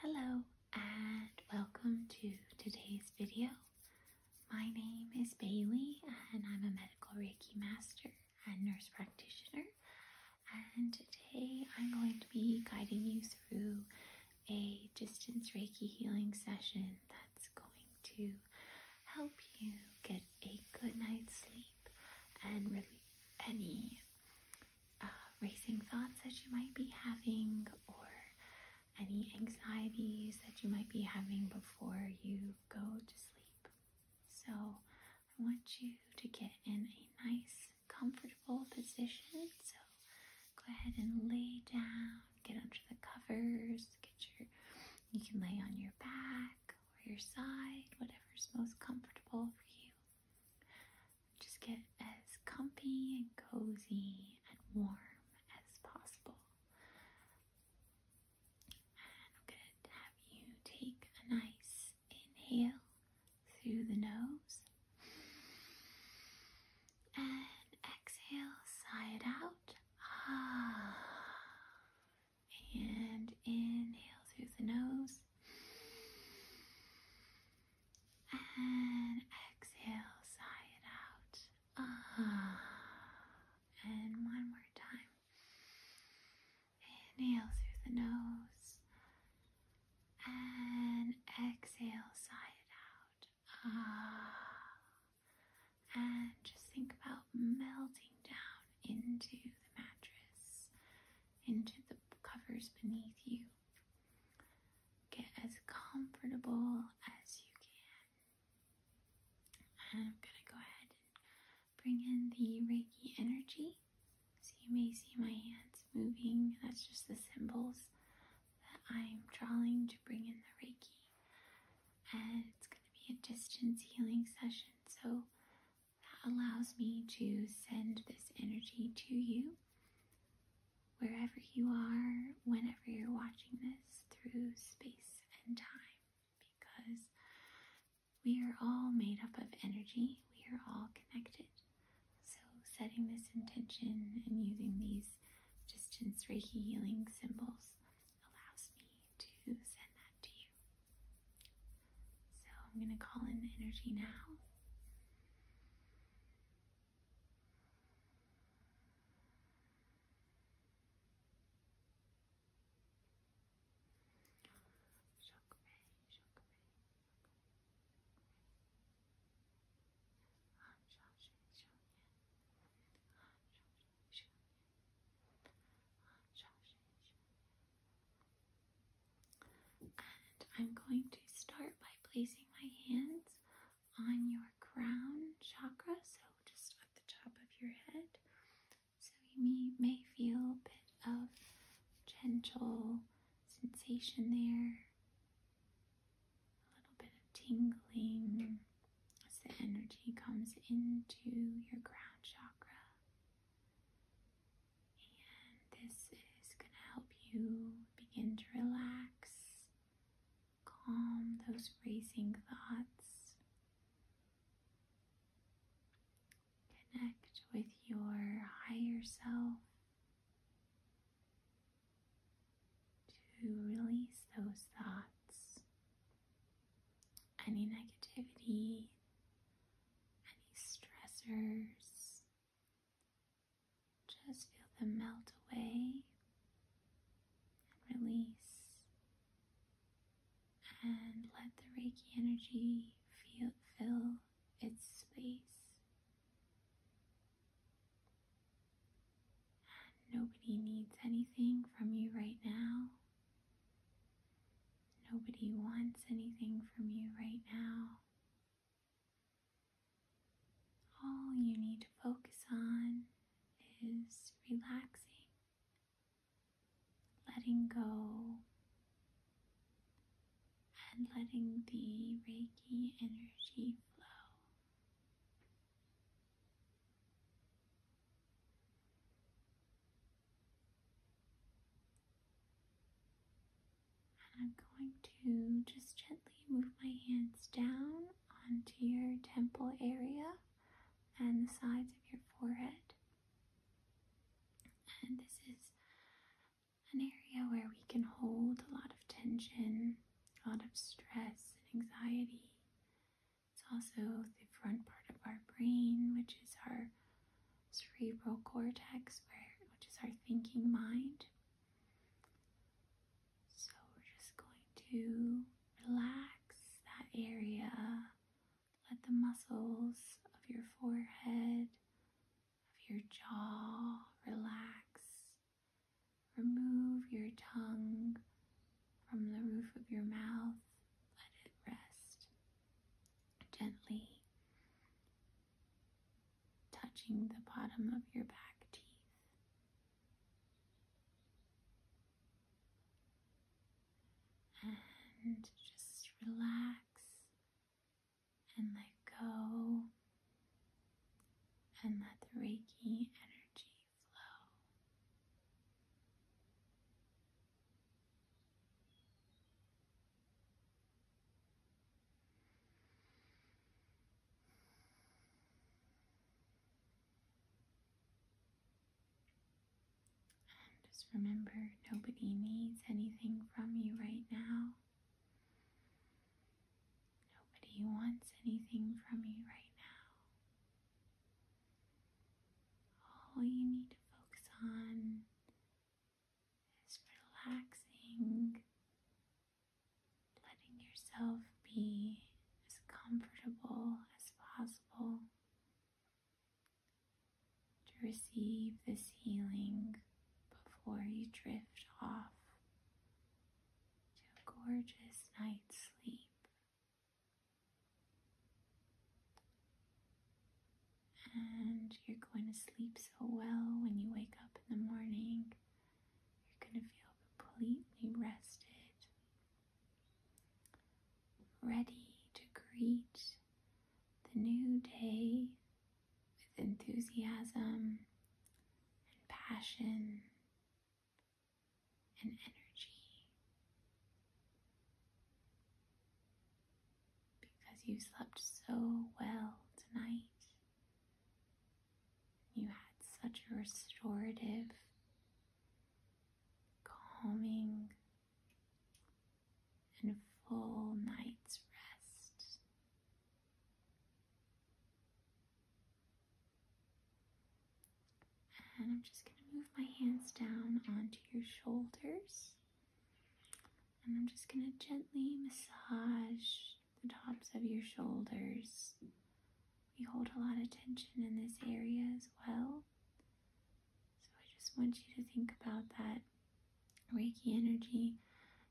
Hello and welcome to today's video. My name is Bailey and I'm a medical Reiki master and nurse practitioner. And today I'm going to be guiding you through a distance Reiki healing session that's going to help you get a good night's sleep and relieve any uh, racing thoughts that you might be having or any anxieties that you might be having before you go to sleep. So, I want you to get in a nice, comfortable position. So, go ahead and lay down, get under the covers, get your you can lay on your back or your side, whatever's most comfortable for you. Just get as comfy and cozy and warm as possible. I'm going to have you take a nice inhale through the nose and exhale, sigh it out. Ah. And inhale through the nose and exhale, sigh it out. Ah. And one more time. Inhale through the nose. And exhale, sigh it out. Ah. And just think about melting down into the mattress into the covers beneath you. Get as comfortable as you can. I'm going to go ahead and bring in the Reiki energy. So you may see my hands moving. That's just the symbols that I'm drawing to bring in the Reiki. And it's going to be a distance healing session. So that allows me to send this energy to you wherever you are, whenever you're watching this through space and time, because we are all made up of energy, we are all connected. So, setting this intention and using these distance Reiki healing symbols allows me to send that to you. So I'm going to call in the energy now. I'm going to start by placing my hands on your crown chakra, so just at the top of your head. So you may, may feel a bit of gentle sensation there, a little bit of tingling as the energy comes into your crown chakra. And this is going to help you begin to relax, calm those racing thoughts, connect with your higher self. To release those thoughts any negativity, any stressors. Just feel them melt away and release. And let the Reiki energy feel, fill its space. Nobody needs anything from you right now. Nobody wants anything from you right now. All you need to focus on is relaxing, letting go, and letting the Reiki energy flow. I'm going to just gently move my hands down onto your temple area and the sides of your forehead. And this is an area where we can hold a lot of tension a lot of stress and anxiety. It's also the front part of our brain, which is our cerebral cortex, where which is our thinking mind. So we're just going to relax that area. Let the muscles of your forehead, of your jaw relax. Remove your tongue from the roof of your mouth. Let it rest gently, touching the bottom of your back teeth. And just relax and let go and let the Reiki energy flow. And just remember, nobody needs anything from you right now. Nobody wants anything from you right now. All you need to focus on is relaxing, letting yourself be as comfortable as possible to receive this healing before you drift off to a gorgeous night's sleep. And you're going to sleep so well when you wake up in the morning. You're going to feel completely rested, ready to greet the new day with enthusiasm and passion and energy because you slept so well tonight. You had such a restorative, calming, and full night's rest. And I'm just going to move my hands down onto your shoulders. And I'm just going to gently massage the tops of your shoulders. You hold a lot of tension in this area as well. So I just want you to think about that Reiki energy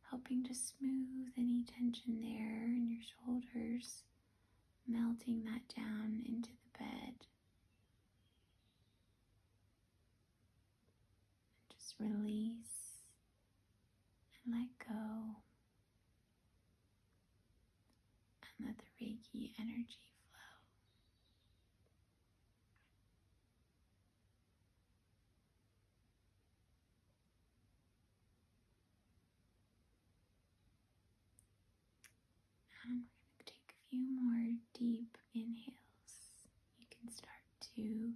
helping to smooth any tension there in your shoulders, melting that down into the bed. And just release and let go. And let the Reiki energy flow. Um, we're going to take a few more deep inhales. You can start to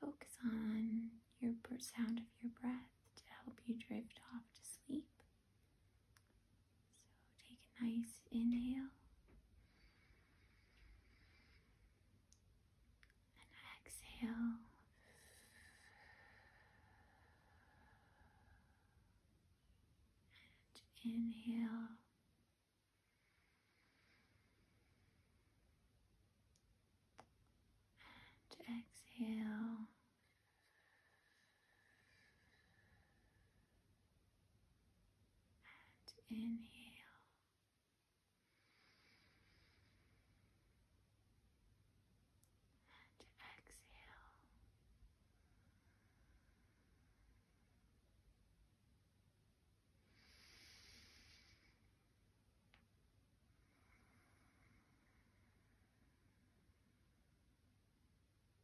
focus on your sound of your breath to help you drift off to sleep. So take a nice inhale and exhale. And inhale. And exhale and inhale. And exhale.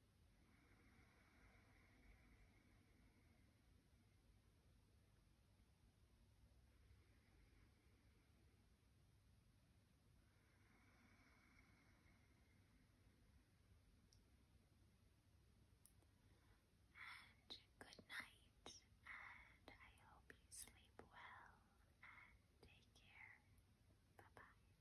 And good night, and I hope you sleep well and take care. Bye bye.